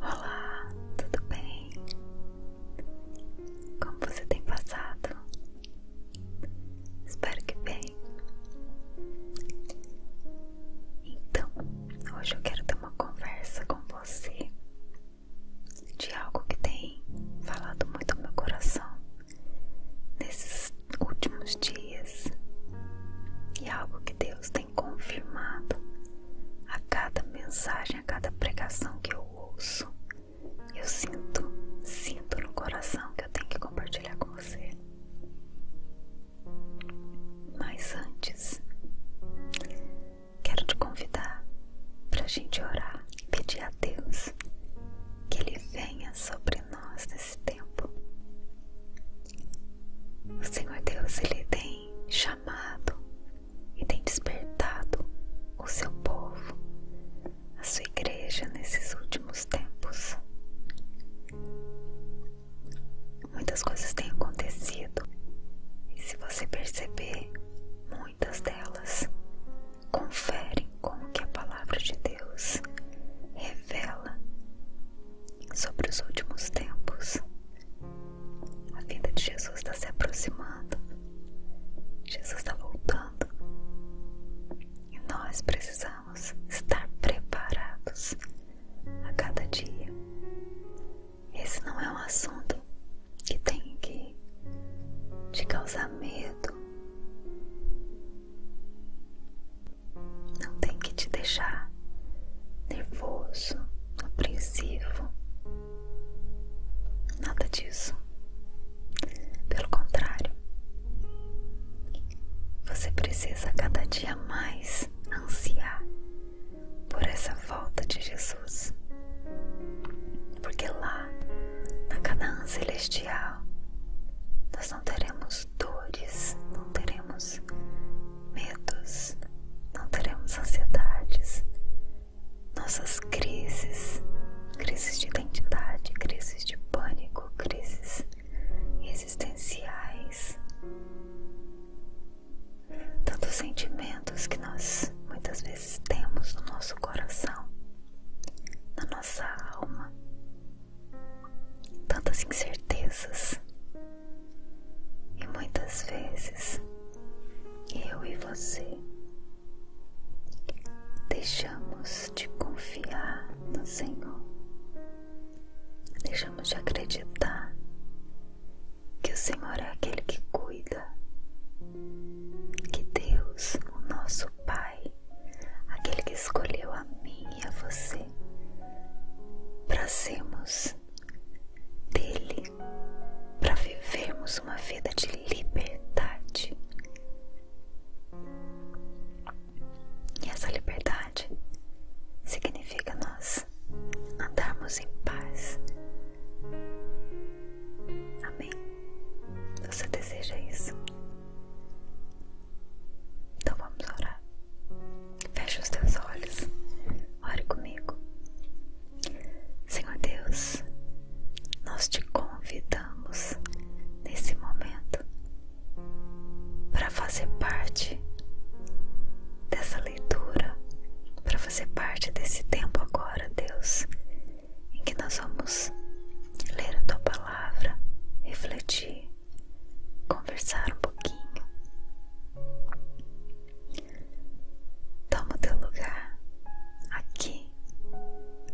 Olá, tudo bem? Como você tem passado? Espero que bem. Então, hoje eu quero ter uma conversa com você de algo que tem falado muito no meu coração nesses últimos dias e algo que Deus tem tem confirmado a cada mensagem, a cada pregação que eu ouço. Eu sinto, sinto no coração que eu tenho que compartilhar com você. Mas antes, quero te convidar para a gente orar, e pedir a Deus que Ele venha sobre nós nesse tempo. O Senhor Deus, Ele tem chamado amado e tem despertado o seu povo, a sua igreja nesses últimos tempos. Muitas coisas têm acontecido e, se você perceber, muitas delas conferem com o que a palavra de Deus revela sobre os últimos tempos. A vida de Jesus está se aproximando. Jesus está voltando. E nós precisamos estar preparados a cada dia. Esse não é um assunto que tem que te causar medo. Não tem que te deixar nervoso apreensivo, nada disso. Pelo contrário, você precisa cada dia mais ansiar por essa volta de Jesus, porque lá na Canaã Celestial nós não teremos dores, não teremos medos, não teremos ansiedades, nossas crises, crises de identidade, crises de pânico, crises existenciais, tantos sentimentos que nós muitas vezes temos no nosso coração, na nossa alma, tantas incertezas, e muitas vezes eu e você deixamos de confiar no Senhor, deixamos de acreditar que o Senhor é aquele que cuida, que Deus, o nosso Pai, aquele que escolheu a mim e a você para sermos dele para vivermos uma vida de liberdade. E essa liberdade significa nós andarmos em paz. Amém. Você deseja isso? Então vamos orar. Feche os teus olhos, ore comigo. Senhor Deus, nós te convidamos nesse momento para fazer parte dessa leitura, para fazer parte desse tempo agora, Deus, em que nós vamos ler a tua palavra, refletir conversar um pouquinho. Toma o teu lugar aqui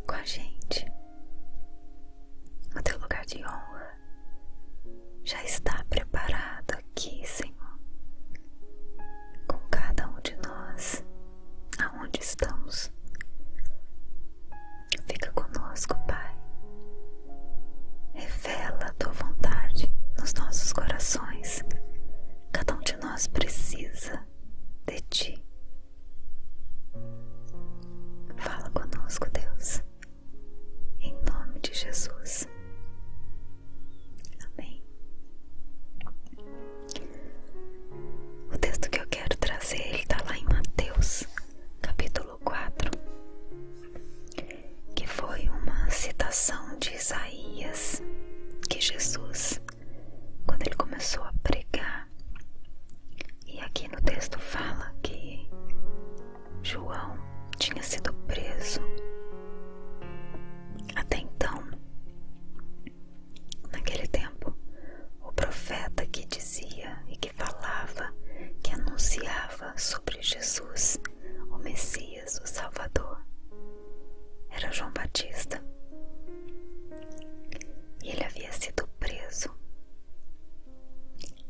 com a gente. O teu lugar de honra já está preparado aqui, Senhor, com cada um de nós, aonde estamos. Fica conosco, Pai. Revela é a tua vontade nos nossos corações. Cada um de nós precisa de ti. Fala conosco, Deus, em nome de Jesus. Amém. O texto que eu quero trazer está lá em Mateus, capítulo. 4, que foi uma citação de Isaías que Jesus, quando ele começou a pregar, e aqui no texto fala que João tinha sido preso. Até então, naquele tempo, o profeta que dizia e que falava, que anunciava sobre Jesus, o Messias, o Salvador, era João Batista. E ele havia sido preso.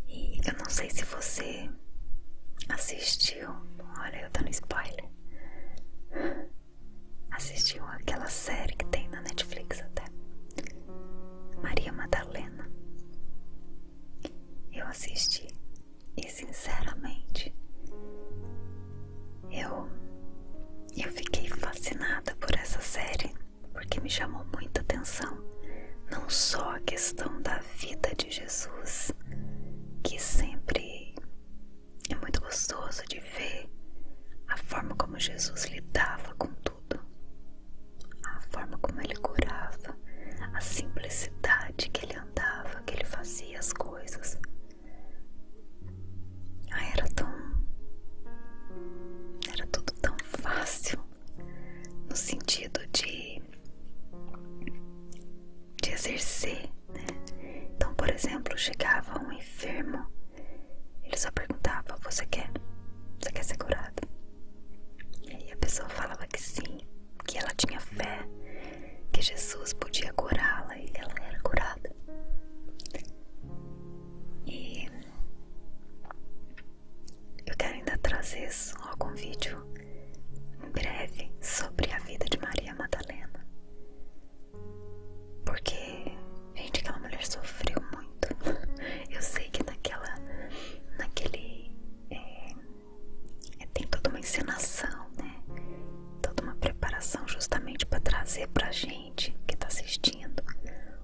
E eu não sei se você assistiu, olha, eu tô no spoiler. Assistiu aquela série que tem na Netflix até. Maria Madalena. Eu assisti e sinceramente eu eu fiquei fascinada por essa série porque me chamou muita atenção não só a questão da vida de Jesus que sempre é muito gostoso de ver a forma como Jesus lidava com tudo a forma como ele curava a simplicidade que ele andava, que ele fazia as coisas. era tão. Era tudo tão fácil, no sentido de. de exercer, né? Então, por exemplo, chegava um enfermo, ele só perguntava: Você quer? Você quer ser curado? E a pessoa falava que sim que ela tinha fé que Jesus podia curá-la e ela era curada. E eu quero ainda trazer algum vídeo em breve sobre a vida de Maria Madalena. Porque, gente, aquela mulher sofreu muito. Eu sei que naquela, naquele eh, é, tem toda uma encenação, né? Toda uma preparação justamente para trazer para a gente que está assistindo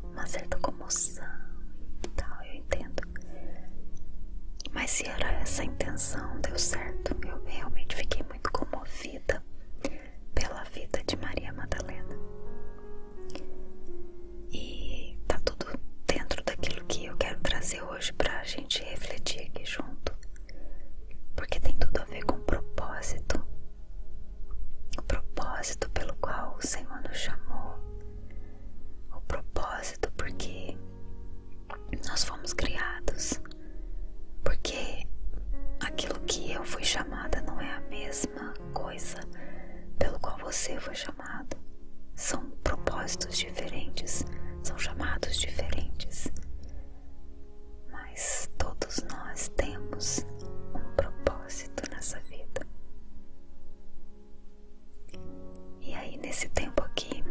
uma certa comoção e tal, eu entendo. Mas se era essa a intenção, deu certo. Eu realmente fiquei muito comovida pela vida de Maria Madalena. E está tudo dentro daquilo que eu quero trazer hoje para a gente refletir aqui junto, porque tem tudo a ver com o propósito o propósito pelo qual o Senhor nos chamou, o propósito porque nós fomos criados, porque aquilo que eu fui chamada não é a mesma coisa pelo qual você foi chamada chamado. São propósitos diferentes, são chamados diferentes. Mas todos nós temos um propósito nessa vida. E aí nesse tempo aqui,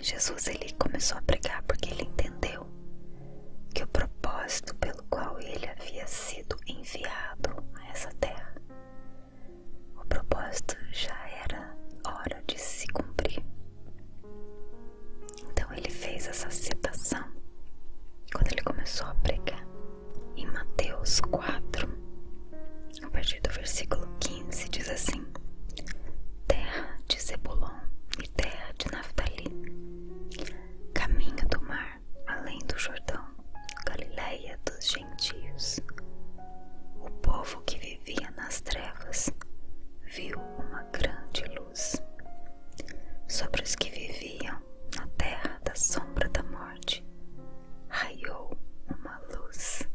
Jesus ele começou a pregar porque ele entendeu que o propósito pelo qual ele havia sido enviado a essa terra o propósito já era hora de se cumprir. Então ele fez essa citação quando ele começou a pregar em Mateus 4, a partir do versículo 15, diz assim: Terra de Zebulon e terra de Naftali, caminho do mar além do Jordão, Galileia dos gentios. O povo que vivia nas trevas viu uma grande luz. Sobre os que viviam na terra da sombra da morte, raiou uma luz.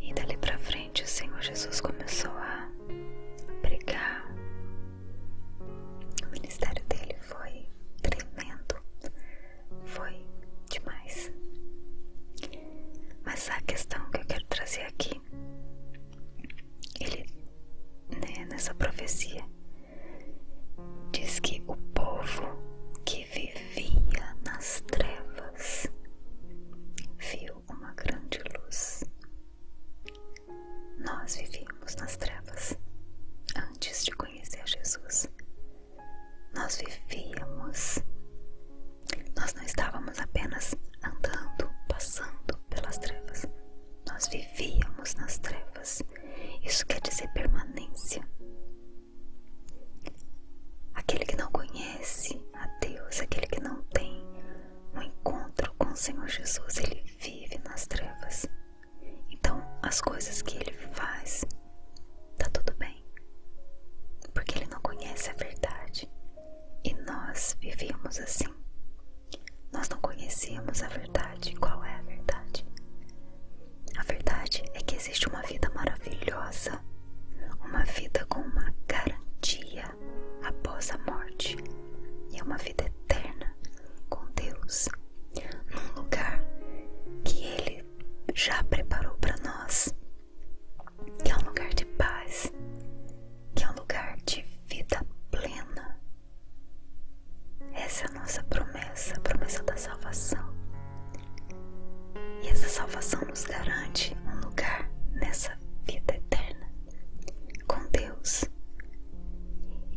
E dali para frente, o Senhor Jesus começou a pregar. O ministério dele foi tremendo. Foi demais. Mas a questão que eu quero trazer aqui, ele, né, nessa profecia, diz que o povo que vivia nas trevas viu uma grande luz. Nós vivíamos nas trevas antes de conhecer Jesus nós vivíamos. Nós não estávamos apenas andando, passando pelas trevas. Nós vivíamos nas trevas. Isso quer dizer permanência. Aquele que não conhece a Deus, aquele que não tem um encontro com o Senhor Jesus, ele vive nas trevas. Então, as coisas que ele faz, tá tudo bem. Porque ele não conhece a verdade. E nós vivíamos assim. Nós não conhecíamos a verdade. Qual é a verdade? A verdade é que existe uma vida maravilhosa, uma vida com uma garantia após a morte, e é uma vida eterna com Deus, num lugar que Ele já preparou para nós, que é um lugar de paz, que é um lugar de vida plena. Essa é a nossa promessa, a promessa da salvação. E essa salvação nos garante um lugar nessa vida eterna com Deus.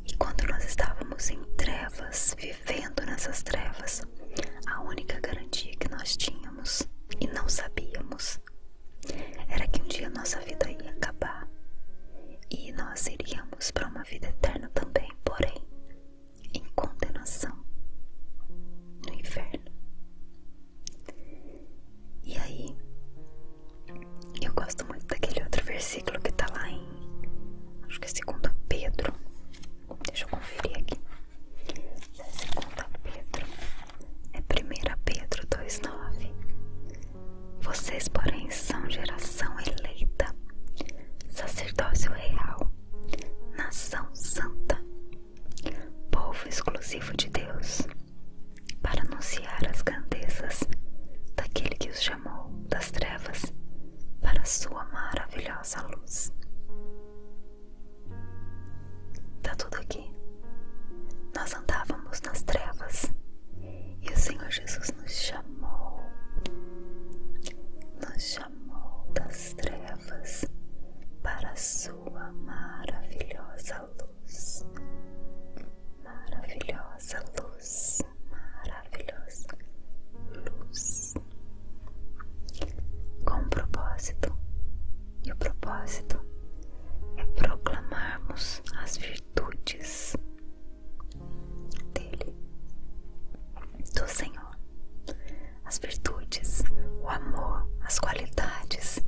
E quando nós estávamos em trevas, vivendo vivendo nessas trevas, a única garantia que nós tínhamos e não sabíamos era que um dia nossa vida ia acabar e nós iríamos para uma vida eterna também, porém em condenação no inferno. E aí, eu gosto muito daquele outro versículo que está lá em Acho que é segunda Pedro. Deixa eu conferir aqui. é segunda Pedro. É primeira Pedro 2,9. Vocês, porém, são geração eleita, sacerdócio real, nação santa, povo exclusivo de Deus, para anunciar as grandezas daquele que os chamou das trevas para sua maravilhosa luz. Tá tudo aqui. Nós andávamos nas trevas e o Senhor Jesus nos chamou, nos chamou das trevas para sua maravilhosa luz, maravilhosa luz maravilhosa, luz com um propósito, e o propósito é proclamarmos as virtudes dele, do Senhor, as virtudes, o amor, as qualidades,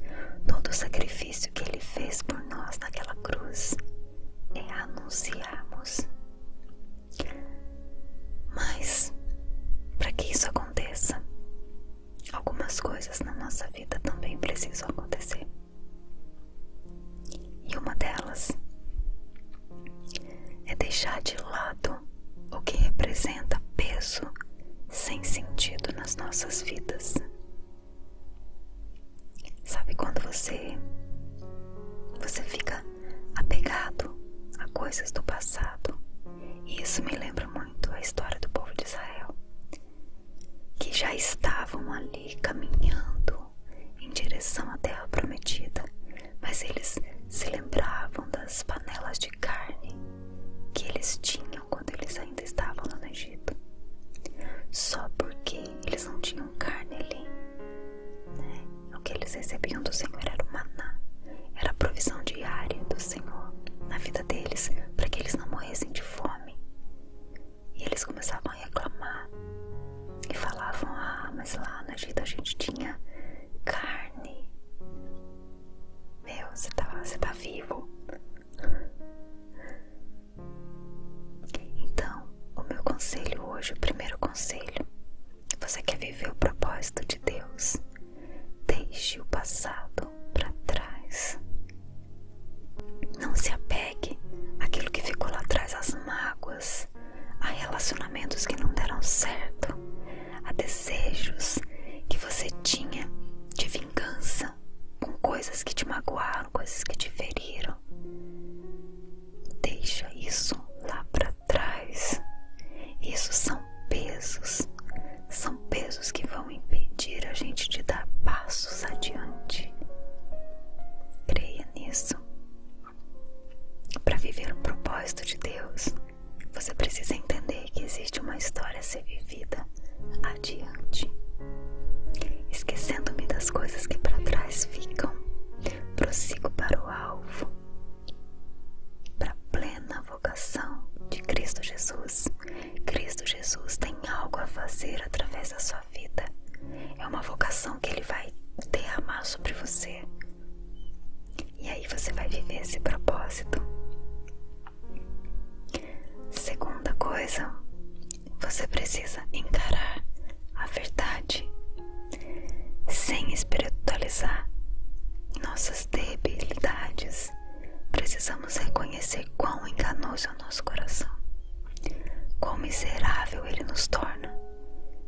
todo o sacrifício que ele fez por nós naquela cruz é anunciarmos mas, para que isso aconteça, algumas coisas na nossa vida também precisam acontecer. E uma delas é deixar de lado o que representa peso sem sentido nas nossas vidas. Sabe quando você você fica apegado a coisas do passado. E isso me lembra muito a história do povo de Israel, que já estavam ali caminhando em direção à terra prometida, mas eles se lembravam das panelas de carne que eles tinham quando eles ainda estavam lá no Egito. Só porque eles não tinham carne ali. Né? O que eles recebiam do Senhor era o maná, era a provisão diária do Senhor na vida deles, para que eles não morressem de fome. E eles começavam a reclamar e falavam: Ah, mas lá no Egito a gente tinha carne. Meu, você tá, você tá vivo. Então, então, o meu conselho hoje, o primeiro conselho: você quer viver o propósito de Deus? Deixe o passado para trás. Não se apegue àquilo que ficou lá atrás, às mágoas, a relacionamentos que não deram certo, a desejos que você tinha de vingança com coisas que te magoaram, coisas que te feriram. Deixa isso lá para trás. Isso são pesos, são pesos que vão impedir a gente de dar passos adiante. Creia nisso. Para viver o propósito de Deus, você precisa entender que existe uma história a ser vivida adiante, esquecendo-me das coisas que para trás ficam, prossigo para o alvo, para a plena vocação de Cristo Jesus. Cristo Jesus tem algo a fazer através da sua vida. É uma vocação que Ele vai derramar sobre você. E aí você vai viver esse propósito. Segunda coisa, você precisa encarar a verdade sem espiritualizar nossas debilidades, precisamos reconhecer quão enganoso é o nosso coração, quão miserável ele nos torna,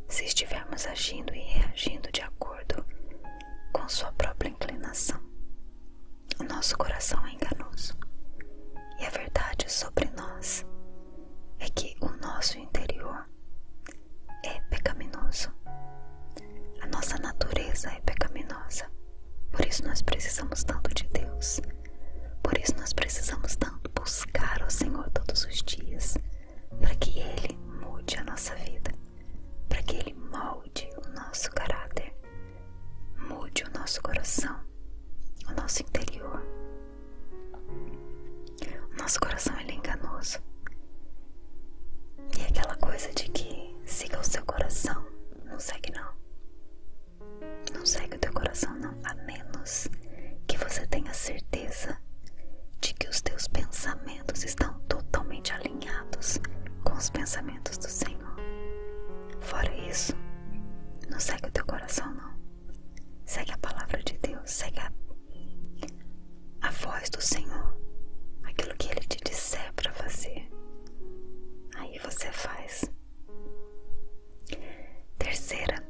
se estivermos agindo e reagindo de acordo com sua própria inclinação. O nosso coração é enganoso e a verdade é sobre nós é que o nosso interior é pecaminoso, a nossa natureza é pecaminosa. Por isso nós precisamos tanto de Deus. Por isso nós precisamos tanto buscar o Senhor todos os dias, para que Ele mude a nossa vida, para que Ele molde o nosso caráter, mude o nosso coração, o nosso interior. O nosso coração ele é enganoso. E é aquela coisa de que siga o seu coração, não segue não. Não segue o teu coração não, a menos que você tenha certeza de que os teus pensamentos estão totalmente alinhados com os pensamentos do Senhor. Fora isso, não segue o teu coração não. Segue a palavra de Deus, segue a, voz do Senhor, aquilo que Ele te disser para fazer. Aí você faz. Terceira,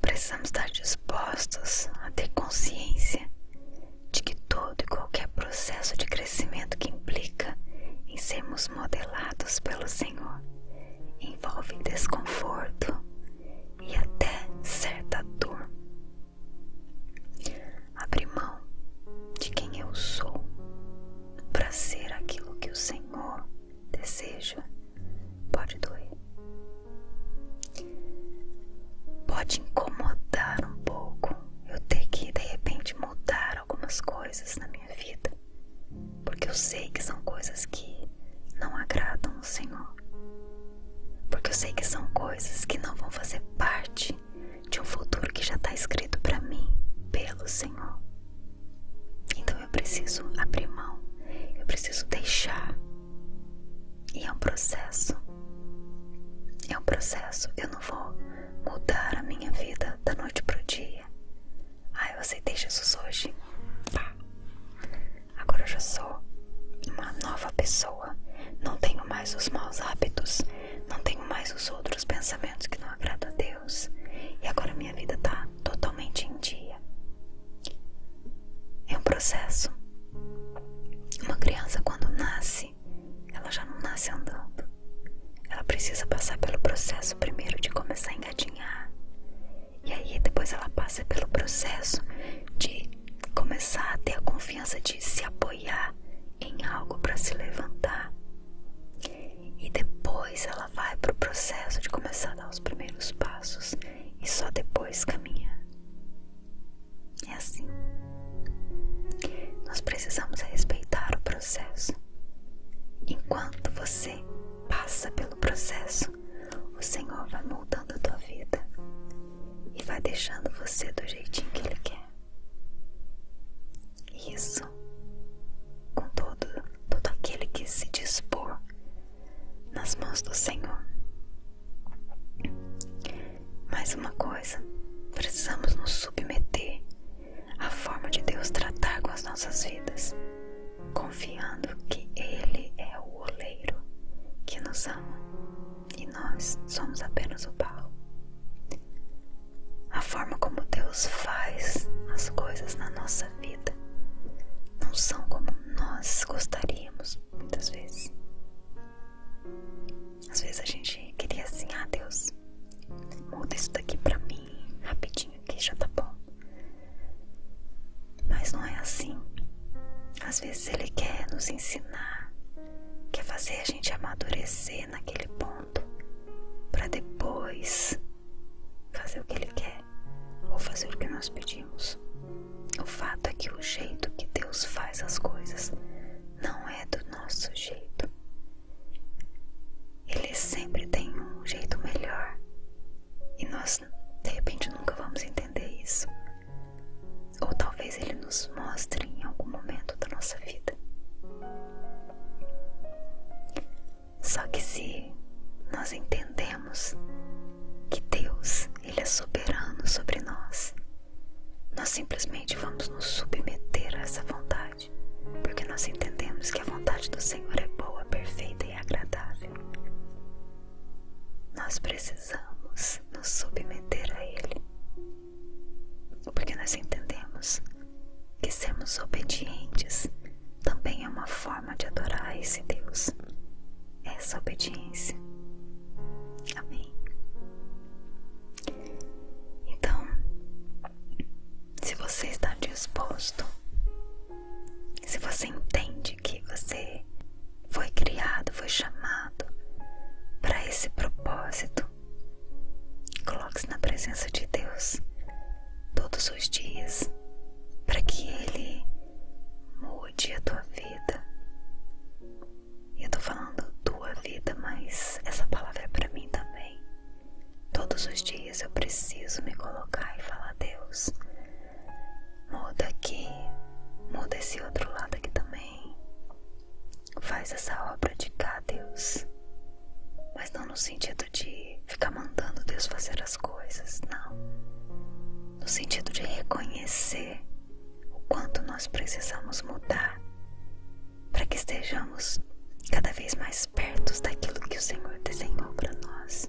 precisamos estar dispostos a ter consciência de que todo e qualquer processo de crescimento que implica em sermos modelados pelo Senhor envolvem desconforto e até certa dor. Abrir mão de quem eu sou para ser aquilo que o Senhor deseja pode doer, pode incomodar um pouco eu ter que de repente mudar algumas coisas na minha vida minha vida, porque eu sei que são coisas que não agradam o Senhor, porque eu sei que são coisas que não vão fazer parte de um futuro que já está escrito para mim pelo Senhor. Então eu preciso abrir mão, eu preciso deixar. E é um processo. É um processo. Eu não vou mudar a minha vida da noite pro dia. Ah, eu aceitei Jesus hoje. Pá. Agora eu já sou uma nova pessoa. Não tenho mais os maus hábitos. Não tenho mais os outros pensamentos que não agradam a Deus. E agora minha vida tá totalmente em dia. É um processo. Uma criança quando nasce, ela já não nasce andando. Ela precisa passar pelo processo primeiro de começar a engatinhar. E aí depois ela passa pelo processo de começar a ter a confiança de se apoiar em algo para se levantar. E depois ela vai para o processo de começar a dar os primeiros passos e só depois caminhar. É assim. Nós precisamos respeitar o processo. Enquanto você passa pelo processo, o Senhor vai moldando a tua vida e vai deixando você do jeitinho que Ele quer. Isso com todo, todo aquele que se dispor nas mãos do Senhor. Mais uma coisa, precisamos nos submeter a forma de Deus tratar com as nossas vidas, confiando que Ele é o oleiro que nos ama e nós somos apenas o barro. A forma como Deus faz as coisas na nossa vida não são como nós gostaríamos muitas vezes. Às vezes a gente queria assim, ah Deus, muda isso daqui para mim rapidinho que já tá bom. Mas não é assim. Às vezes ele quer nos ensinar, quer fazer a gente amadurecer naquele ponto, para depois fazer o que ele quer ou fazer o que nós pedimos. O fato é que o jeito que Deus faz as coisas não é do nosso jeito. Ele sempre tem um jeito melhor e nós de repente nunca vamos entender isso. Ou talvez ele nos mostre em algum momento da nossa vida. Só que se nós entendemos que Deus, ele é soberano sobre nós, nós simplesmente vamos nos submeter a essa vontade porque nós entendemos que a vontade do Senhor é boa, perfeita e agradável. Nós precisamos nos submeter a Ele, porque nós entendemos que sermos obedientes também é uma forma de adorar esse Deus, é essa obediência. Amém. Então, se você está disposto se você entende que você foi criado, foi chamado para esse propósito, coloque-se na presença de Deus todos os dias para que Ele mude a tua vida. eu estou falando tua vida, mas essa palavra é para mim também. Todos os dias eu preciso me colocar e falar: Deus, muda aqui, muda esse outro lado aqui também. Faz essa obra de cá, Deus. Mas não no sentido de ficar mandando Deus fazer as coisas, não. No sentido de reconhecer o quanto nós precisamos mudar para que estejamos cada vez mais perto daquilo que o Senhor desenhou para nós.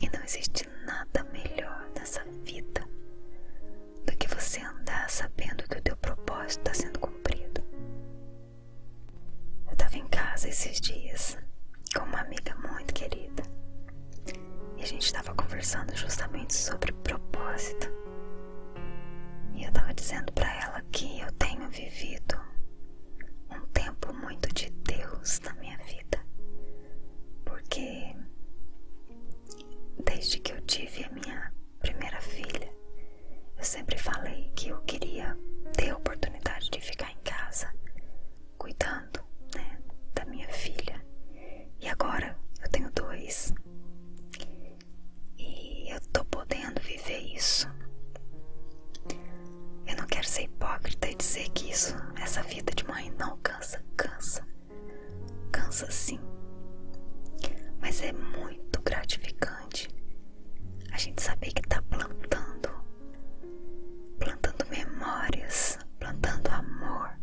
E não existe nada melhor nessa vida do que você andar sabendo que o teu propósito está sendo cumprido. Eu estava em casa esses dias com uma amiga muito querida e a gente estava conversando justamente sobre propósito. E eu estava dizendo para ela que eu tenho vivido um tempo muito de Deus na minha vida, porque desde que eu tive a minha primeira filha, eu sempre falei que eu queria ter a oportunidade de ficar em casa cuidando né, da minha filha. E agora eu tenho dois. E eu tô podendo viver isso. Eu não quero ser hipócrita e dizer que isso, essa vida de mãe não cansa, cansa. Cansa sim. Mas é muito gratificante a gente saber que tá plantando, plantando memórias, plantando amor,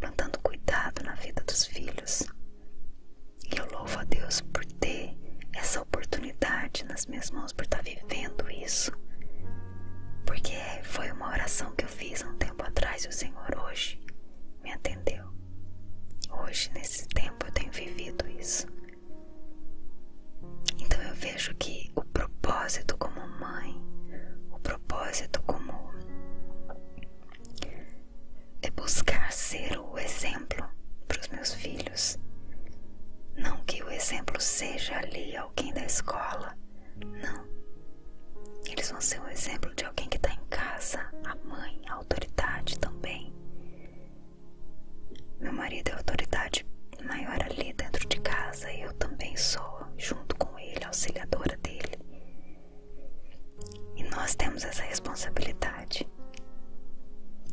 plantando cuidado na vida dos filhos. E eu louvo a Deus por ter essa oportunidade nas minhas mãos, por estar vivendo isso. Porque foi uma oração que eu fiz há um tempo atrás e o Senhor hoje me atendeu. Hoje, nesse tempo, eu tenho vivido isso. Então eu vejo que o propósito como mãe, o propósito como é buscar ser o exemplo para os meus filhos não que o exemplo seja ali alguém da escola, não. Eles vão ser um exemplo de alguém que está em casa, a mãe, a autoridade também. Meu marido é autoridade maior ali dentro de casa e eu também sou, junto com ele, auxiliadora dele. E nós temos essa responsabilidade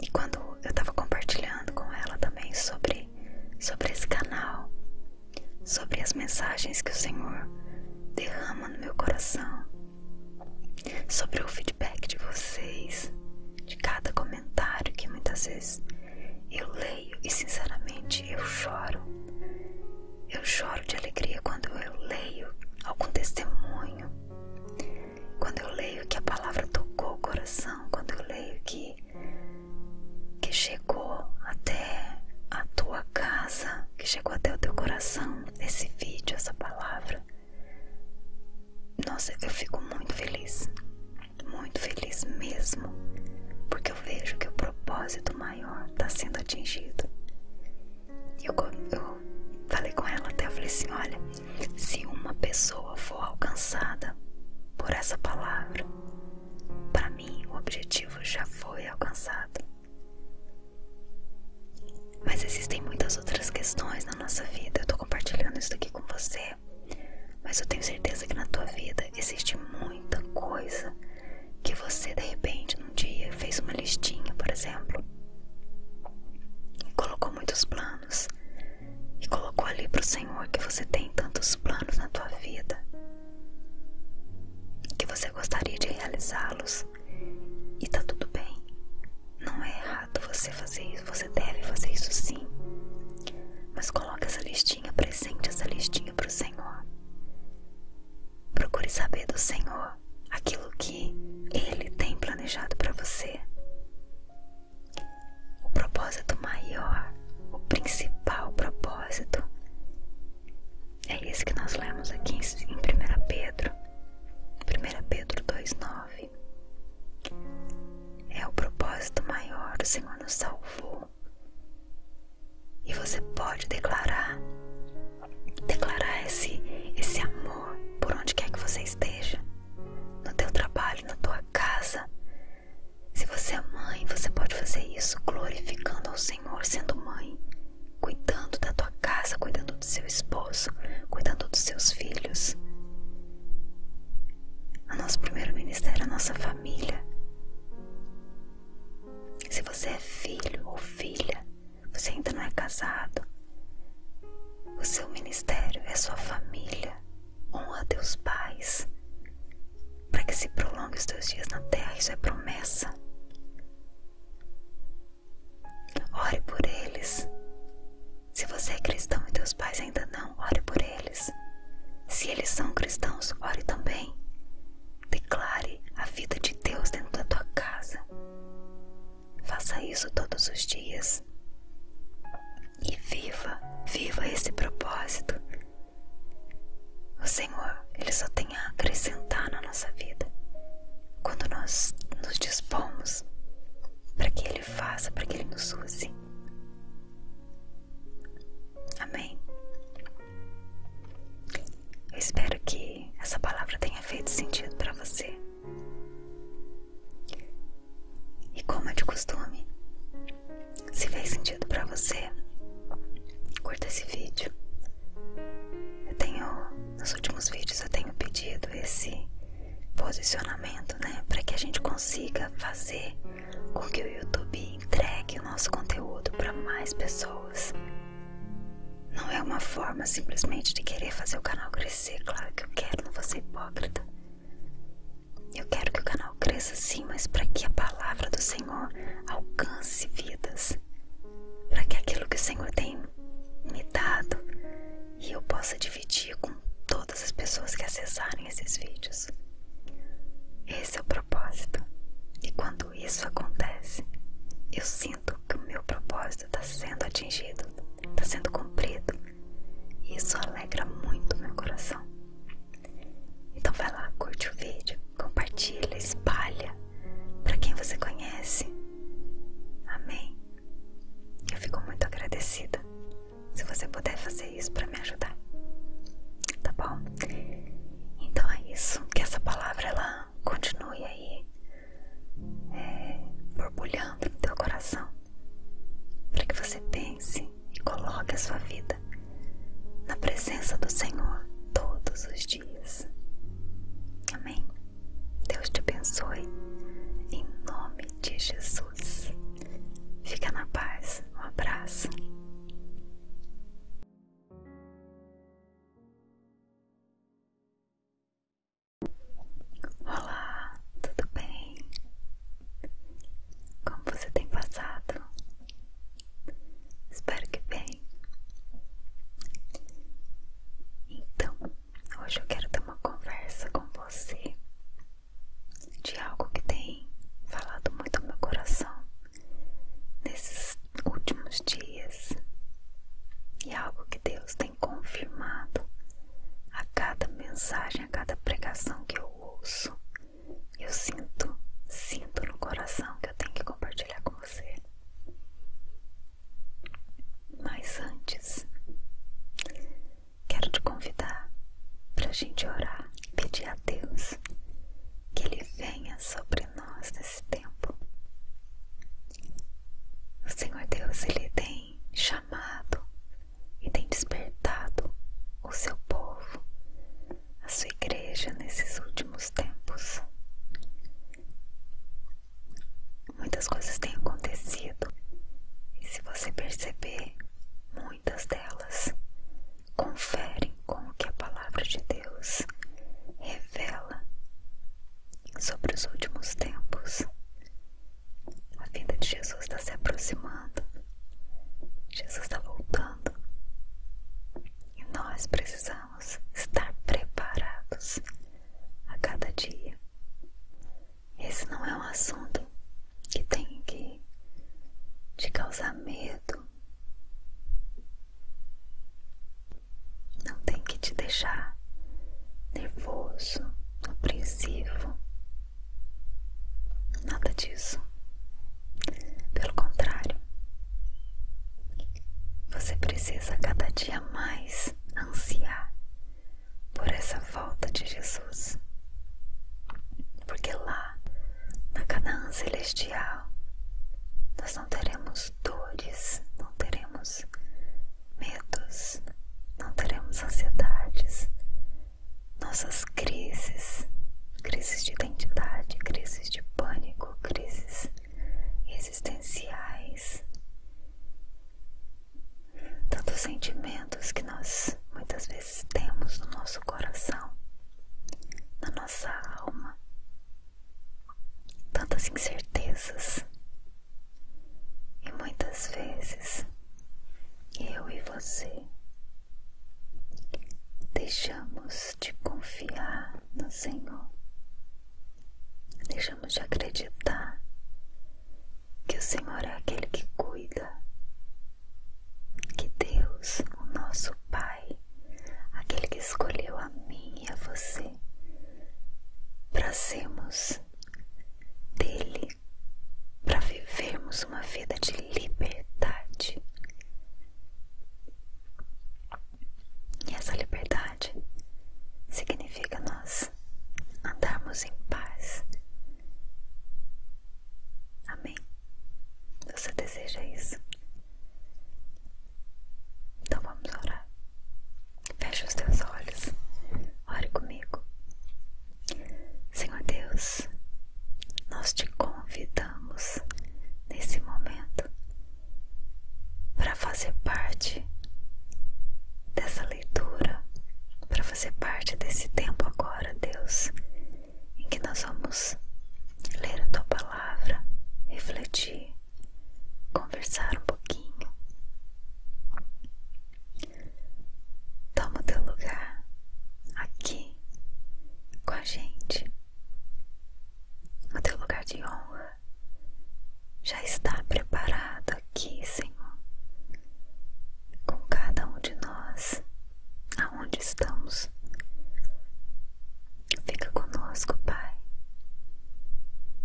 e quando eu estava compartilhando com ela também sobre, sobre esse canal, sobre as mensagens que o Senhor derrama no meu coração, sobre o feedback de vocês, de cada comentário que muitas vezes eu leio e sinceramente eu choro. Eu choro de alegria quando eu leio algum testemunho quando eu leio que a palavra tocou o coração, quando eu leio que, que chegou até a tua casa, que chegou até o teu coração, esse vídeo, essa palavra, nossa, eu fico muito feliz, muito feliz mesmo, porque eu vejo que o propósito maior está sendo atingido. Eu, eu falei com ela até, eu falei assim, olha, se uma pessoa for alcançada por essa palavra, para mim o objetivo já foi alcançado. Mas existem muitas outras questões na nossa vida. Eu estou compartilhando isso aqui com você, mas eu tenho certeza que na tua vida existe muita coisa que você de repente num dia fez uma listinha, por exemplo. E colocou muitos planos. E colocou ali para o Senhor que você tem tantos planos na tua vida. Que você gostaria de realizá-los. E tá tudo bem. Não é errado você fazer isso. Você deve fazer isso sim. Mas coloque essa listinha, presente essa listinha para o Senhor. Procure saber do Senhor aquilo que Ele tem planejado para você. O propósito maior, o principal propósito, é esse que nós lemos aqui em 1 Pedro, 1 Pedro 2,9. É o propósito maior, o Senhor nos salvou. E você pode declarar, declarar esse, esse amor por onde quer que você esteja no teu trabalho, na tua casa. Se você é mãe, você pode fazer isso glorificando ao Senhor sendo mãe, cuidando da tua casa, cuidando do seu esposo, cuidando dos seus filhos. O nosso primeiro ministério é a nossa família. Se você é filho ou filha, você ainda não é casado, o seu ministério é sua família. Honra teus pais. Para que se prolongue os teus dias na terra, isso é promessa. Ore por eles. Se você é cristão e teus pais ainda não, ore por eles. Se eles são cristãos, ore também. Declare a vida de Deus dentro da tua casa. Faça isso todos os dias. E viva, viva esse propósito. O Senhor, Ele só tem a acrescentar na nossa vida quando nós nos dispomos para que Ele faça, para que Ele nos use. Amém. Eu espero que essa palavra tenha feito sentido para você. E como é de costume, se fez sentido para você, curta esse vídeo. Eu tenho, nos últimos vídeos eu tenho pedido esse posicionamento, né, para que a gente consiga fazer com que o YouTube entregue o nosso conteúdo para mais pessoas. Não é uma forma simplesmente de querer fazer o canal crescer claro que eu quero, não vou ser hipócrita. Eu quero que o canal cresça sim, mas para que a palavra do Senhor alcance vidas, para que aquilo que o Senhor tem me dado eu possa dividir com todas as pessoas que acessarem esses vídeos. Esse é o propósito. E quando isso acontece, eu sinto que o meu propósito está sendo atingido, está sendo cumprido, isso alegra muito meu coração. Então vai lá, curte o vídeo, compartilha, espalha para quem você conhece. Amém. Eu fico muito agradecida se você puder fazer isso para me ajudar. Tá bom? Então é isso, que essa palavra ela continue aí borbulhando no teu coração, para que você pense e coloque a sua vida na presença do Senhor todos os dias. Amém? Deus te abençoe em nome de Jesus. Fica na paz. Um abraço. Olá, tudo bem? Como você tem passado? Espero que bem. Então, hoje eu quero ter uma conversa com você de algo que tem falado muito no meu coração nesses últimos dias e algo que Deus tem confirmado a cada mensagem, a cada pregação que eu ouço, eu sinto, sinto no coração que eu tenho que compartilhar com você. Mas antes, quero te convidar para a gente orar pedir a Deus que Ele venha sobre nós nesse tempo. O Senhor Deus, Ele tem chamado e tem despertado o seu povo, a sua igreja nesses últimos tempos. Muitas coisas têm acontecido e, se você perceber, muitas delas conferem com o que a palavra de Deus revela sobre os últimos tempos. A vinda de Jesus está se aproximando. Jesus está voltando. E nós precisamos estar preparados a cada dia. Esse não é um assunto que tem que te causar medo. Não tem que te deixar nervoso no princípio nada disso. Pelo contrário, você precisa cada dia mais ansiar por essa volta de Jesus, porque lá na Canaã Celestial nós não teremos dores, não teremos medos, não teremos ansiedades, nossas crises, crises de identidade, crises de pânico, crises existenciais. Tantos sentimentos que nós muitas vezes temos no nosso coração, na nossa alma, tantas incertezas, e muitas vezes eu e você deixamos de confiar no Senhor, deixamos de acreditar que o Senhor é aquele que cuida, que Deus, o nosso Pai, aquele que escolheu a mim e a você para sermos dele para vivermos uma vida de liberdade. E essa liberdade significa nós andarmos em paz. Amém? Você deseja isso? Então vamos orar. Feche os teus olhos. Ore comigo. Senhor Deus, nós te convidamos nesse momento para fazer parte dessa leitura, para fazer parte desse tempo agora, Deus, em que nós vamos ler a tua palavra, refletir, conversar um pouquinho Toma o teu lugar aqui com a gente. O teu lugar de honra já está preparado aqui, Senhor, com cada um de nós, aonde estamos. Fica conosco, Pai,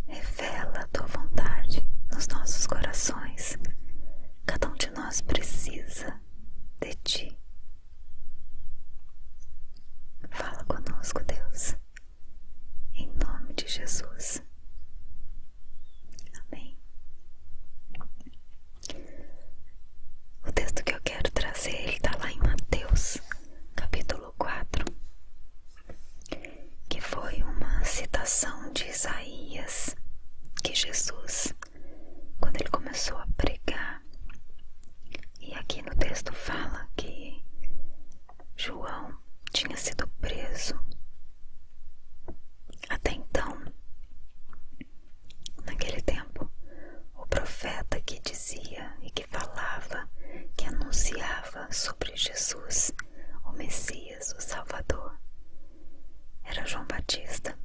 Revela é a tua vontade nos nossos corações. Cada um de nós precisa de ti. Fala conosco, Deus, em nome de Jesus. Amém. O texto que eu quero trazer, ele está lá em Mateus, capítulo 4, que foi uma citação de Isaías que Jesus, quando ele começou a pregar, e aqui no texto fala que João tinha sido preso. Até então, naquele tempo, o profeta que dizia e que falava, que anunciava sobre Jesus o Messias, o Salvador, era João Batista.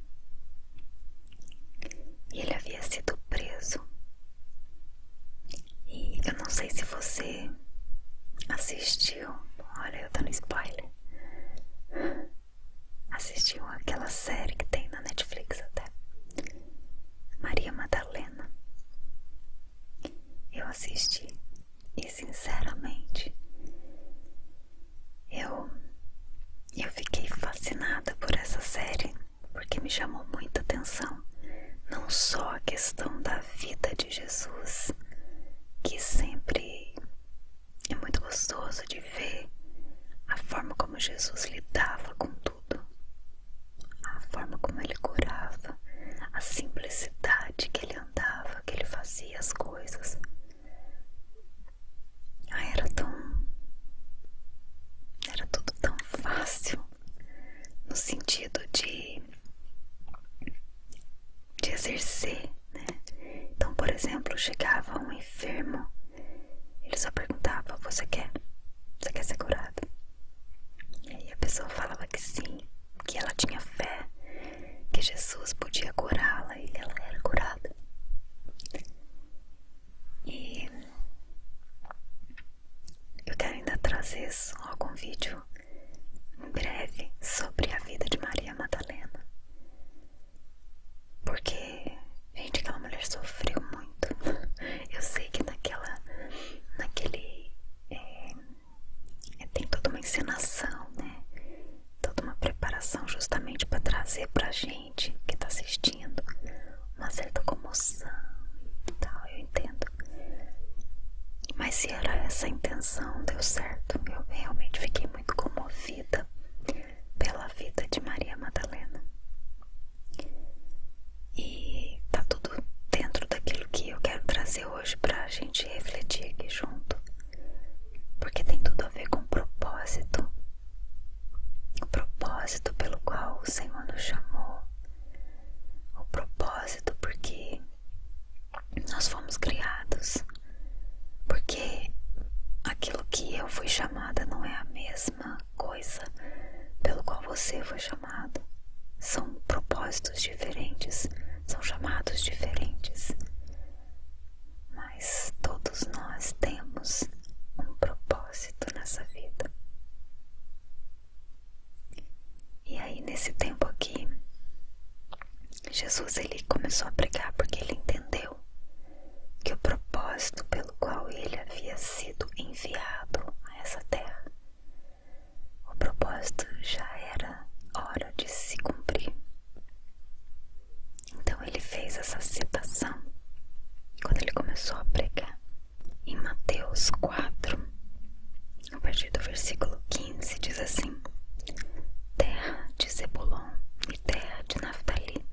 E ele havia sido preso. E eu não sei se você assistiu. Olha, eu tô no spoiler. Assistiu aquela série que tem na Netflix até. Maria Madalena. Eu assisti e sinceramente, eu eu fiquei fascinada por essa série, porque me chamou muita atenção não só a questão da vida de Jesus, que sempre é muito gostoso de ver a forma como Jesus lidava com tudo, a forma como ele curava, a simplicidade que ele que ele andava, que ele fazia as coisas. Ah, era tão. Era tudo tão fácil no sentido de, de exercer, né? Então, por exemplo, chegava um enfermo, ele só perguntava: Você quer? Você quer ser curado? E aí a pessoa falava que sim, que ela tinha fé, que Jesus podia curá-la e ela era curada. E eu quero ainda trazer algum vídeo em breve sobre a vida de Maria Madalena. Porque, gente, aquela mulher sofreu muito. Eu sei que naquela, naquele eh, é, tem toda uma encenação, né? Toda uma preparação justamente para trazer para a gente que está assistindo uma certa comoção e tal, eu entendo. Mas se era essa a intenção, deu certo. Eu realmente fiquei muito comovida pela vida de Maria Madalena. E está tudo dentro daquilo que eu quero trazer hoje hoje para a gente refletir aqui junto, porque tem tudo a ver com o propósito o propósito pelo qual o Senhor nos chamou, o propósito porque nós fomos criados, porque aquilo que eu fui chamada não é a mesma coisa pelo qual você foi chamada. São propósitos diferentes, são chamados diferentes. Mas todos nós temos um propósito nessa vida. E aí nesse tempo aqui, Jesus ele começou a pregar porque ele entendeu que o propósito pelo qual ele havia sido enviado a essa terra o propósito já era hora de se cumprir. Então ele fez essa citação quando ele começou a pregar em Mateus 4, a partir do versículo 15, diz assim: Terra de Zebulon e terra de Naftali,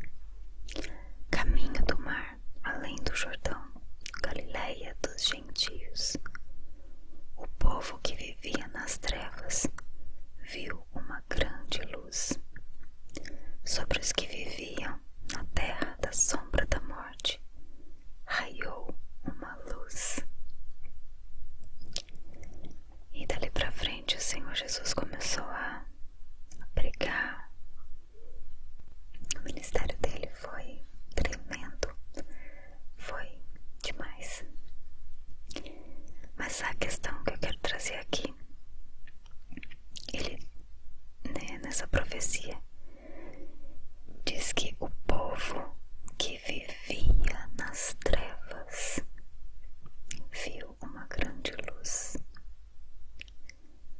caminho do mar além do Jordão, Galileia dos gentios. O povo que vivia nas trevas viu uma grande luz. Sobre os que viviam na terra da sombra da morte, raiou uma luz. E dali para frente o Senhor Jesus começou a, a pregar. O ministério dele foi tremendo foi demais. Mas a questão que eu quero trazer aqui, ele, né, nessa profecia, diz que o povo que vivia nas trevas viu uma grande luz.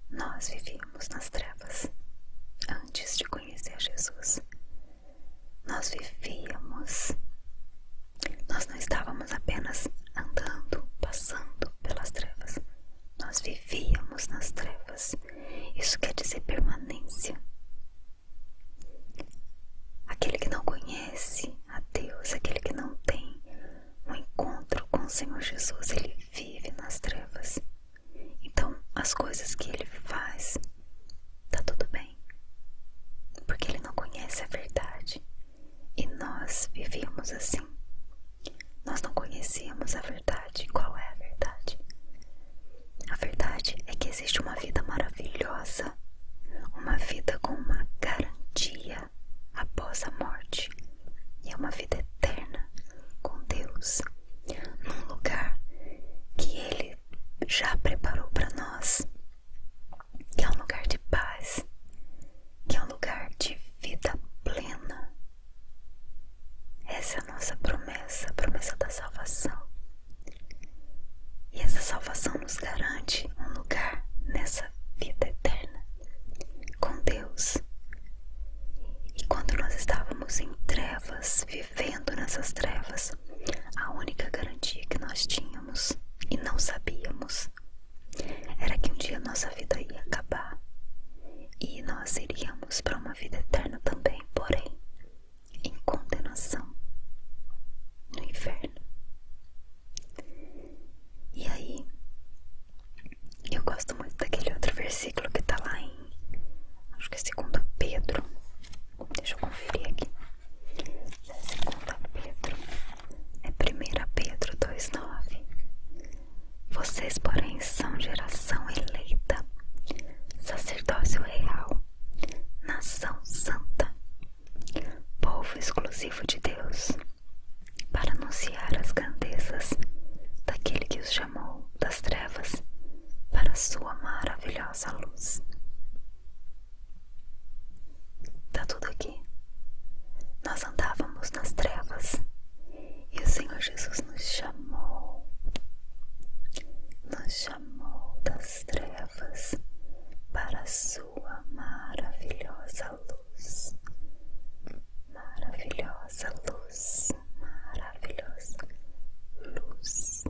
Nós vivíamos nas trevas antes de conhecer Jesus nós vivíamos. Nós não estávamos apenas andando, passando pelas trevas. Nós vivíamos nas trevas. Isso quer dizer permanência. Aquele que não conhece a Deus, aquele que não tem um encontro com o Senhor Jesus, ele vive nas trevas. Então, as coisas que ele faz, tá tudo bem. Porque ele não conhece a verdade. E nós vivíamos assim. Nós não conhecíamos a verdade. Qual é a verdade? A verdade é que existe uma vida maravilhosa, uma vida com uma garantia após a morte, e é uma vida eterna com Deus num lugar que Ele já preparou para nós, que é um lugar de paz, que é um lugar de vida plena. Essa é a nossa promessa, a promessa da salvação. E essa salvação nos garante um lugar nessa vida eterna com Deus. E quando nós estávamos em trevas, vivendo nessas trevas, a única garantia que nós tínhamos e não sabíamos era que um dia nossa vida ia acabar e nós iríamos para uma vida eterna também, porém, em condenação no inferno. E aí, eu gosto muito daquele outro versículo que está lá em acho que é segunda Pedro, deixa eu conferir aqui, é segunda Pedro, é primeira Pedro 2,9, vocês porém são geração eleita, sacerdócio real, nação santa, povo exclusivo de Deus, para anunciar as grandezas daquele que os chamou chamou das trevas para sua maravilhosa luz. Tá tudo aqui. Nós andávamos nas trevas e o Senhor Jesus nos chamou, nos chamou das trevas para sua maravilhosa luz, maravilhosa luz, maravilhosa maravilhosa luz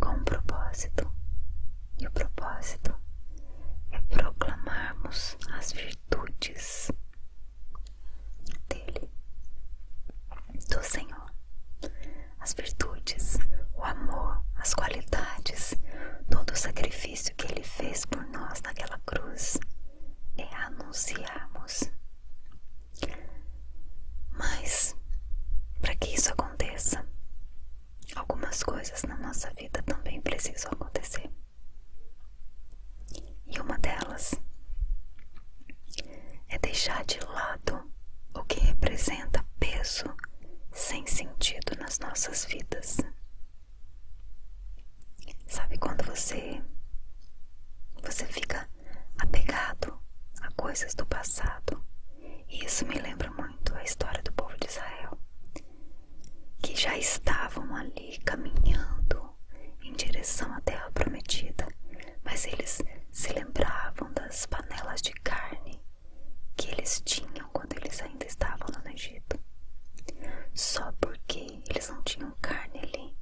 com um propósito, e o propósito é proclamarmos as virtudes dele, do Senhor, as virtudes, o amor, as qualidades, todo o sacrifício que ele fez por nós naquela cruz é anunciarmos mas, para que isso aconteça, algumas coisas na nossa vida também precisam acontecer. E uma delas é deixar de lado o que representa peso sem sentido nas nossas vidas. Sabe quando você você fica apegado a coisas do passado. E isso me lembra muito a história do povo de Israel, que já estavam ali caminhando em direção à terra prometida, mas eles se lembravam das panelas de carne que eles tinham quando eles ainda estavam no Egito. Só porque eles não tinham carne ali,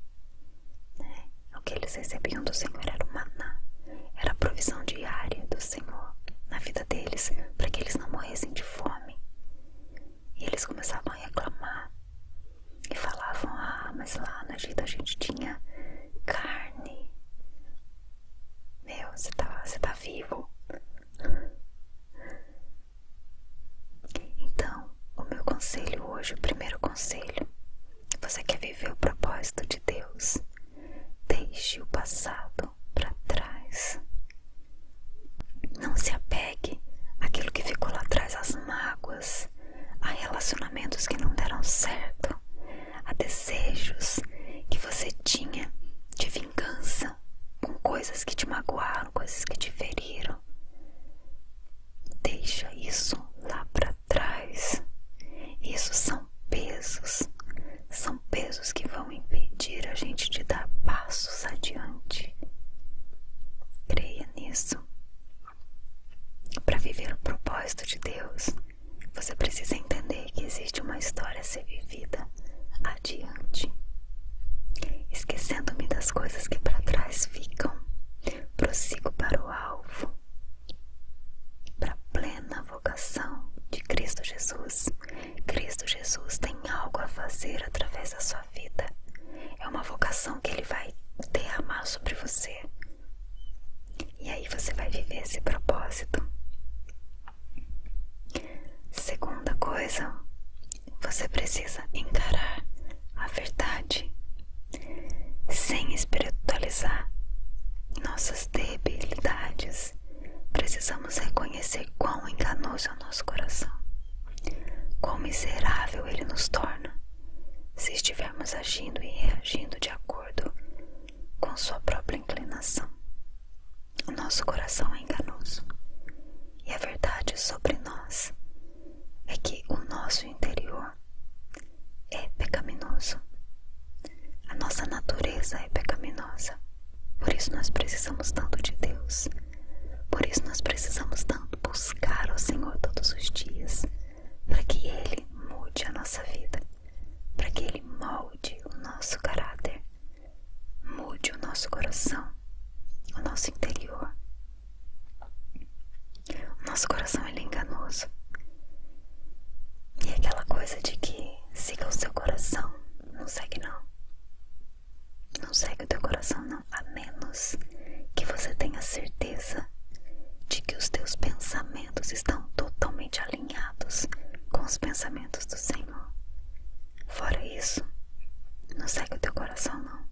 o que eles recebiam do Senhor era o maná, era a provisão diária do Senhor na vida deles, para que eles não morressem de fome. E eles começavam a reclamar e falavam: Ah, mas lá no Egito a gente tinha carne. Meu, você está, você tá vivo. Então, o meu conselho hoje, o primeiro conselho, você quer viver o propósito de Deus? Deixe o passado para trás. Não se apegue àquilo que ficou lá atrás, às mágoas, a relacionamentos que não deram certo, a desejos que você tinha de vingança com coisas que te magoaram, coisas que te feriram. Deixa isso lá para trás. Isso são pesos, são pesos que vão impedir a gente de dar passos adiante. Creia nisso. Para viver o propósito de Deus, você precisa entender que existe uma história a ser vivida adiante, esquecendo-me das coisas que para trás ficam prossigo para o alvo, para a plena vocação de Cristo Jesus. Cristo Jesus tem algo a fazer através da sua vida. É uma vocação que Ele vai derramar sobre você. E aí você vai viver esse propósito. Segunda coisa, você precisa encarar a verdade sem espiritualizar nossas debilidades, precisamos reconhecer quão enganoso é o nosso coração, quão miserável ele nos torna se estivermos agindo e reagindo de acordo com sua própria inclinação. O nosso coração é enganoso e a verdade sobre nós é que o nosso interior é pecaminoso. A nossa natureza é pecaminosa. Por isso nós precisamos tanto de Deus. Por isso nós precisamos tanto buscar o Senhor todos os dias, para que Ele mude a nossa vida, para que Ele molde o nosso caráter, mude o nosso coração, o nosso interior, o nosso coração ele é enganoso. E é aquela coisa de que siga o seu coração, não segue não. Não segue o teu coração não, a menos que você tenha certeza de que os teus pensamentos estão totalmente alinhados com os pensamentos do Senhor. Fora isso, não segue o teu coração não.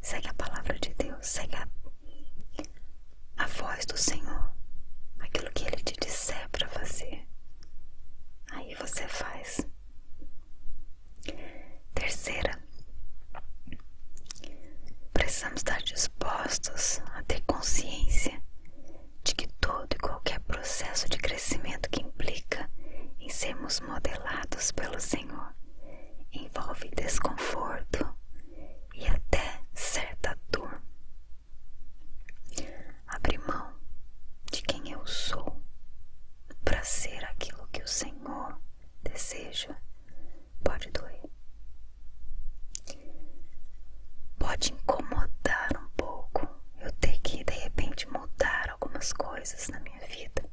Segue a palavra de Deus, segue a, voz do Senhor, aquilo que Ele te disser para fazer. Aí você faz. Terceira, precisamos estar dispostos a ter consciência de que todo e qualquer processo de crescimento que implica em sermos modelados pelo Senhor envolve desconforto e até certa dor. Abrir mão de quem eu sou para ser aquilo que o Senhor deseja pode doer. Pode incomodar um pouco eu ter que de repente mudar algumas coisas na minha vida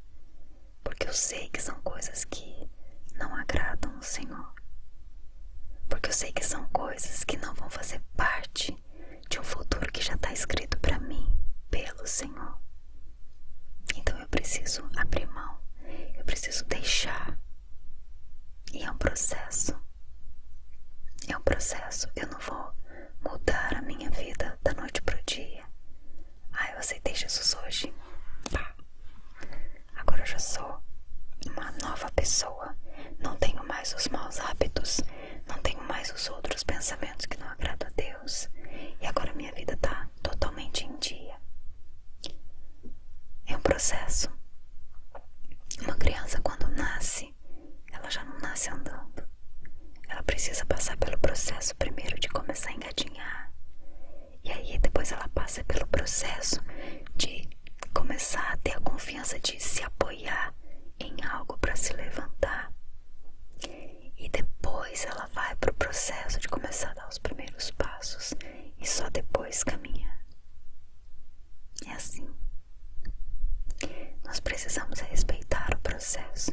porque eu sei que são coisas que não agradam o Senhor, porque eu sei que são coisas que não vão fazer parte de um futuro que já está escrito para mim pelo Senhor. Então eu preciso abrir mão, eu preciso deixar. E é um processo. É um processo. Eu não vou mudar a minha vida da noite pro dia. Ah, eu aceitei Jesus hoje. Pá. Agora eu já sou uma nova pessoa. Não tenho mais os maus hábitos. Não tenho mais os outros pensamentos que não agradam a Deus. E agora minha vida tá totalmente em dia. É um processo. Uma criança quando nasce, ela já não nasce andando. Ela precisa passar pelo processo primeiro de começar a engatinhar e aí depois ela passa pelo processo de começar a ter a confiança de se apoiar em algo para se levantar. E depois ela vai para o processo de começar a dar os primeiros passos e só depois caminhar. É assim. Nós precisamos respeitar o processo.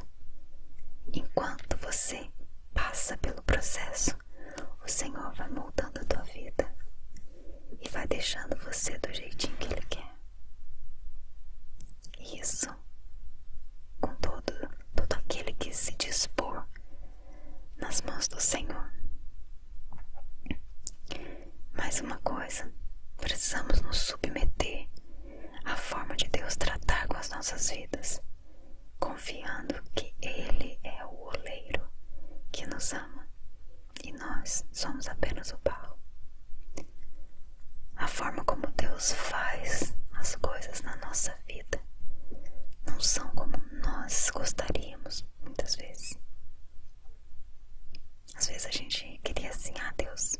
Enquanto você passa pelo processo, o Senhor vai moldando a tua vida e vai deixando você do jeitinho que Ele quer. Isso com todo, todo aquele que se dispor nas mãos do Senhor. Mais uma coisa, precisamos nos submeter à forma de Deus tratar com as nossas vidas confiando que Ele é o oleiro que nos ama e nós somos apenas o barro. A forma como Deus faz as coisas na nossa vida não são como nós gostaríamos muitas vezes. Às vezes a gente queria assim, ah Deus,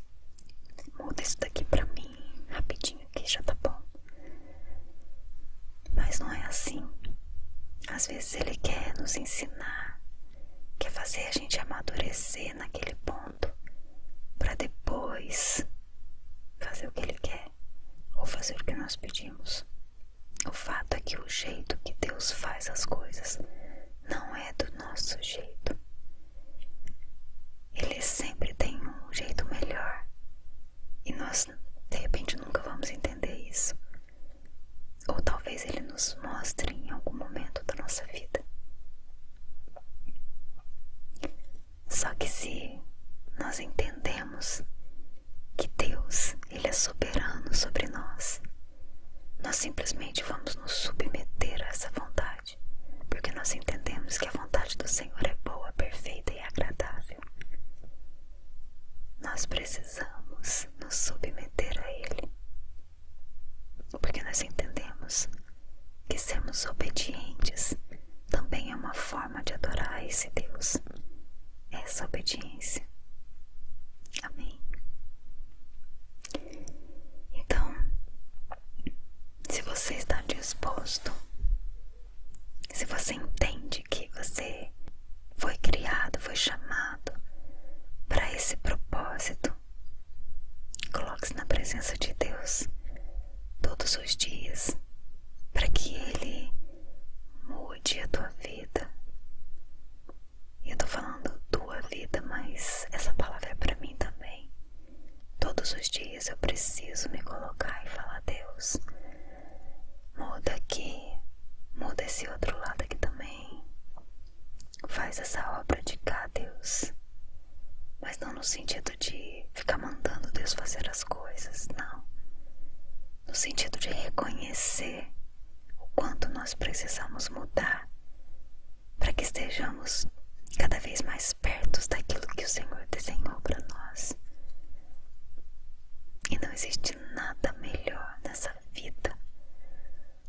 muda isso daqui pra mim rapidinho que já tá bom. Mas não é assim. Às vezes ele quer nos ensinar, quer fazer a gente amadurecer naquele ponto, para depois fazer o que ele quer ou fazer o que nós pedimos. O fato é que o jeito que Deus faz as coisas não é do nosso jeito. Ele sempre tem um jeito melhor e nós de repente nunca vamos entender isso. Ou talvez ele nos mostre em algum momento da nossa vida. Só que se nós entendemos que Deus, ele é soberano sobre nós, nós simplesmente vamos nos submeter a essa vontade porque nós entendemos que a vontade do Senhor é boa, perfeita e agradável. Nós precisamos nos submeter a Ele, porque nós entendemos que sermos obedientes também é uma forma de adorar esse Deus, é essa obediência. Amém. Então, se você está disposto se você entende que você foi criado, foi chamado para esse propósito, coloque-se na presença de Deus todos os dias para que Ele mude a tua vida. E eu estou falando tua vida, mas essa palavra é para mim também. Todos os dias eu preciso me colocar e falar: a Deus, muda aqui, muda esse outro lado aqui também. Faz essa obra de cá, Deus. Mas não no sentido de ficar mandando Deus fazer as coisas, não. No sentido de reconhecer o quanto nós precisamos mudar para que estejamos cada vez mais perto daquilo que o Senhor desenhou para nós. E não existe nada melhor nessa vida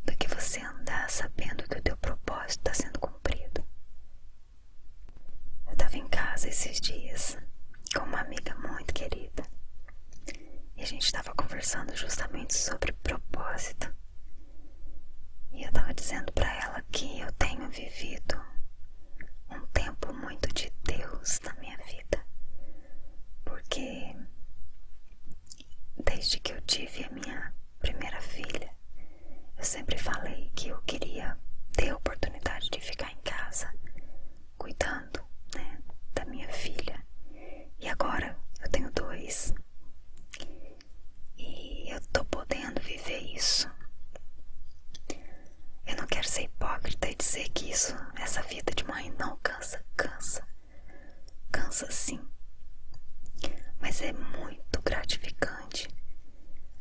do que você andar sabendo que o teu propósito está sendo cumprido. Eu estava em casa esses dias com uma amiga muito querida e a gente estava conversando justamente sobre propósito. E eu estava dizendo para ela que eu tenho vivido um tempo muito de Deus na minha vida, porque desde que eu tive a minha primeira filha, eu sempre falei que eu queria ter a oportunidade de ficar em casa cuidando né, da minha filha. E agora eu tenho dois. E eu tô podendo viver isso eu não quero ser hipócrita e dizer que isso, essa vida de mãe não cansa, cansa. Cansa sim. Mas é muito gratificante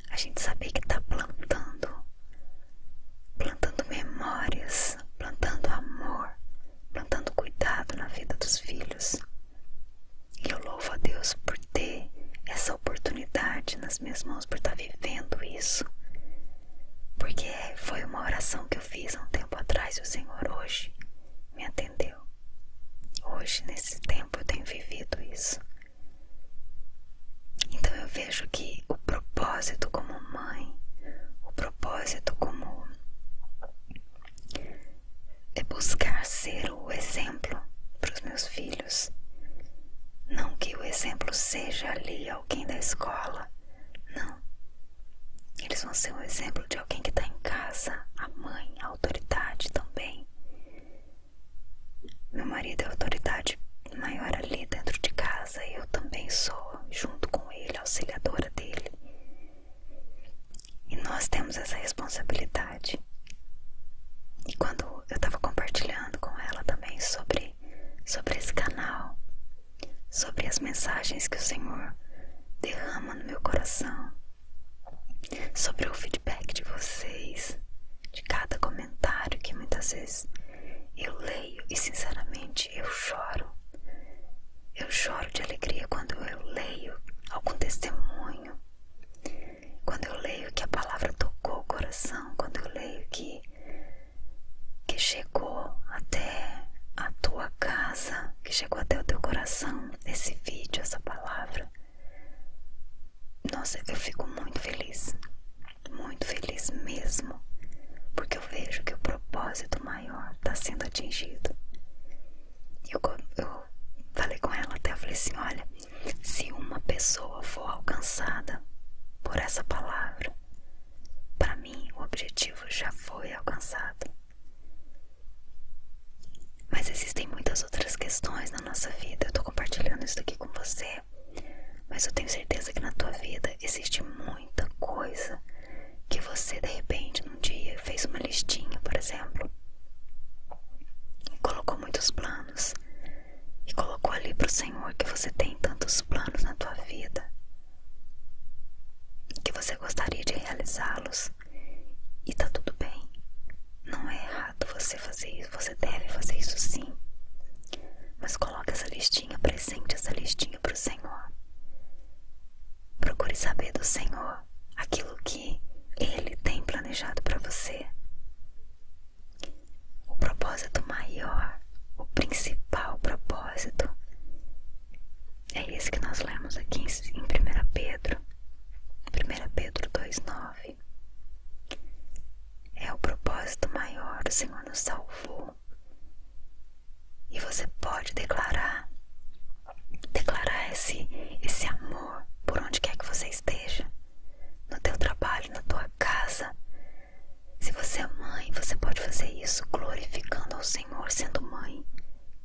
a gente saber que tá plantando, plantando memórias, plantando amor, plantando cuidado na vida dos filhos. E eu louvo a Deus por ter essa oportunidade nas minhas mãos, por estar tá vivendo isso. Porque foi uma oração que eu fiz há um tempo atrás e o Senhor hoje me atendeu. Hoje, nesse tempo, eu tenho vivido isso. Então eu vejo que o propósito como mãe, o propósito como é buscar ser o exemplo para os meus filhos não que o exemplo seja ali alguém da escola, não. Eles vão ser um exemplo de alguém que está em casa, a mãe, a autoridade também. Meu marido é a autoridade maior ali dentro de casa e eu também sou, junto com ele, auxiliadora dele. E nós temos essa responsabilidade e quando eu estava compartilhando com ela também sobre, sobre esse canal, sobre as mensagens que o Senhor derrama no meu coração, sobre o feedback de vocês, de cada comentário que muitas vezes eu leio e sinceramente eu choro. Eu choro de alegria quando eu leio algum testemunho quando eu leio que a palavra tocou o coração, quando eu leio que que chegou até a tua casa, que chegou até o teu coração, esse vídeo, essa palavra. Nossa, eu fico muito feliz, muito feliz mesmo, porque eu vejo que o propósito maior está sendo atingido. E eu, eu falei com ela até, eu falei assim, olha, se uma pessoa for alcançada por essa palavra, para mim o objetivo já foi alcançado. Mas existem muitas outras questões na nossa vida. Eu estou compartilhando isso aqui com você, mas eu tenho certeza que na tua vida existe muita coisa que você de repente num dia fez uma listinha, por exemplo, e colocou muitos planos e colocou ali para o Senhor que você tem tantos planos na tua vida, que você gostaria de realizá-los e está tudo bem. Não é errado você fazer isso, você deve fazer isso sim. Mas coloque essa listinha, presente essa listinha para o Senhor. Procure saber do Senhor aquilo que Ele tem planejado para você. O propósito maior, o principal propósito, é esse que nós lemos aqui em 1 Pedro, 1 Pedro 2,9. É o propósito maior, o Senhor nos salvou. E você pode declarar, declarar esse, esse amor por onde quer que você esteja no teu trabalho, na tua casa. Se você é mãe, você pode fazer isso glorificando ao Senhor sendo mãe,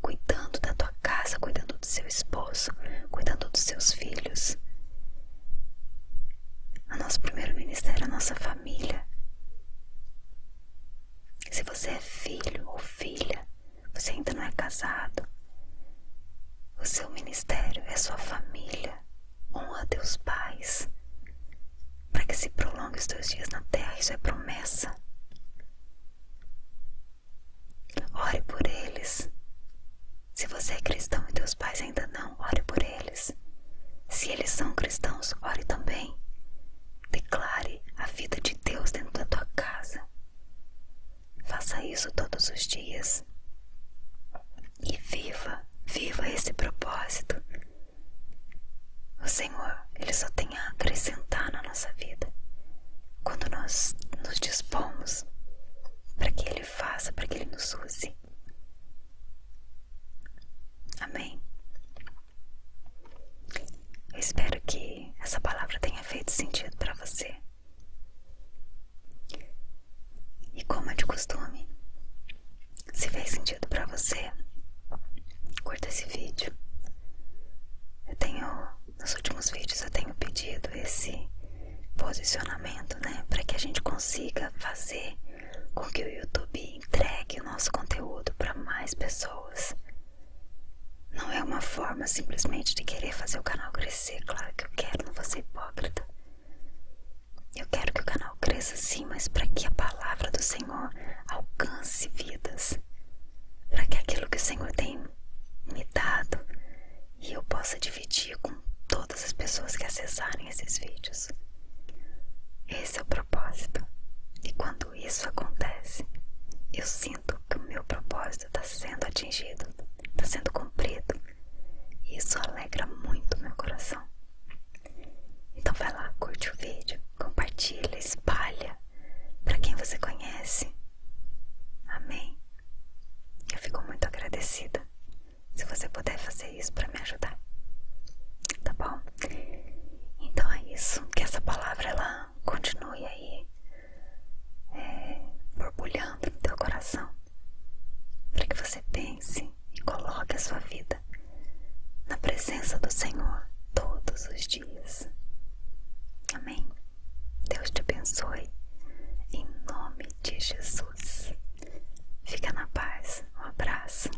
cuidando da tua casa, cuidando do seu esposo, cuidando dos seus filhos. O nosso primeiro ministério é a nossa família. Se você é filho ou filha, você ainda não é casado, o seu ministério é sua família. Honra teus pais. Para que se prolongue os teus dias na terra, isso é promessa. Ore por eles. Se você é cristão e teus pais ainda não, ore por eles. Se eles são cristãos, ore também. Declare a vida de Deus dentro da tua casa. Faça isso todos os dias. E viva, viva esse propósito. O Senhor, Ele só tem a acrescentar na nossa vida quando nós nos dispomos para que Ele faça, para que Ele nos use. Amém. Eu espero que essa palavra tenha feito sentido para você. E como é de costume, se fez sentido para você, curta esse vídeo. Eu tenho, nos últimos vídeos eu tenho pedido esse posicionamento, né, para que a gente consiga fazer com que o YouTube entregue o nosso conteúdo para mais pessoas. Não é uma forma simplesmente de querer fazer o canal crescer claro que eu quero, não vou ser hipócrita. Eu quero que o canal cresça sim, mas para que a palavra do Senhor alcance vidas, para que aquilo que o Senhor tem me dado e eu possa dividir com todas as pessoas que acessarem esses vídeos. Esse é o propósito. E quando isso acontece, eu sinto que o meu propósito está sendo atingido está sendo cumprido. E isso alegra muito meu coração. Então vai lá, curte o vídeo, compartilha, espalha para quem você conhece. Amém. Eu fico muito agradecida se você puder fazer isso para me ajudar. Tá bom? Então é isso, que essa palavra ela continue aí borbulhando no teu coração, para que você pense e coloque a sua vida na presença do Senhor todos os dias. Amém? Deus te abençoe em nome de Jesus. Fica na paz. Um abraço.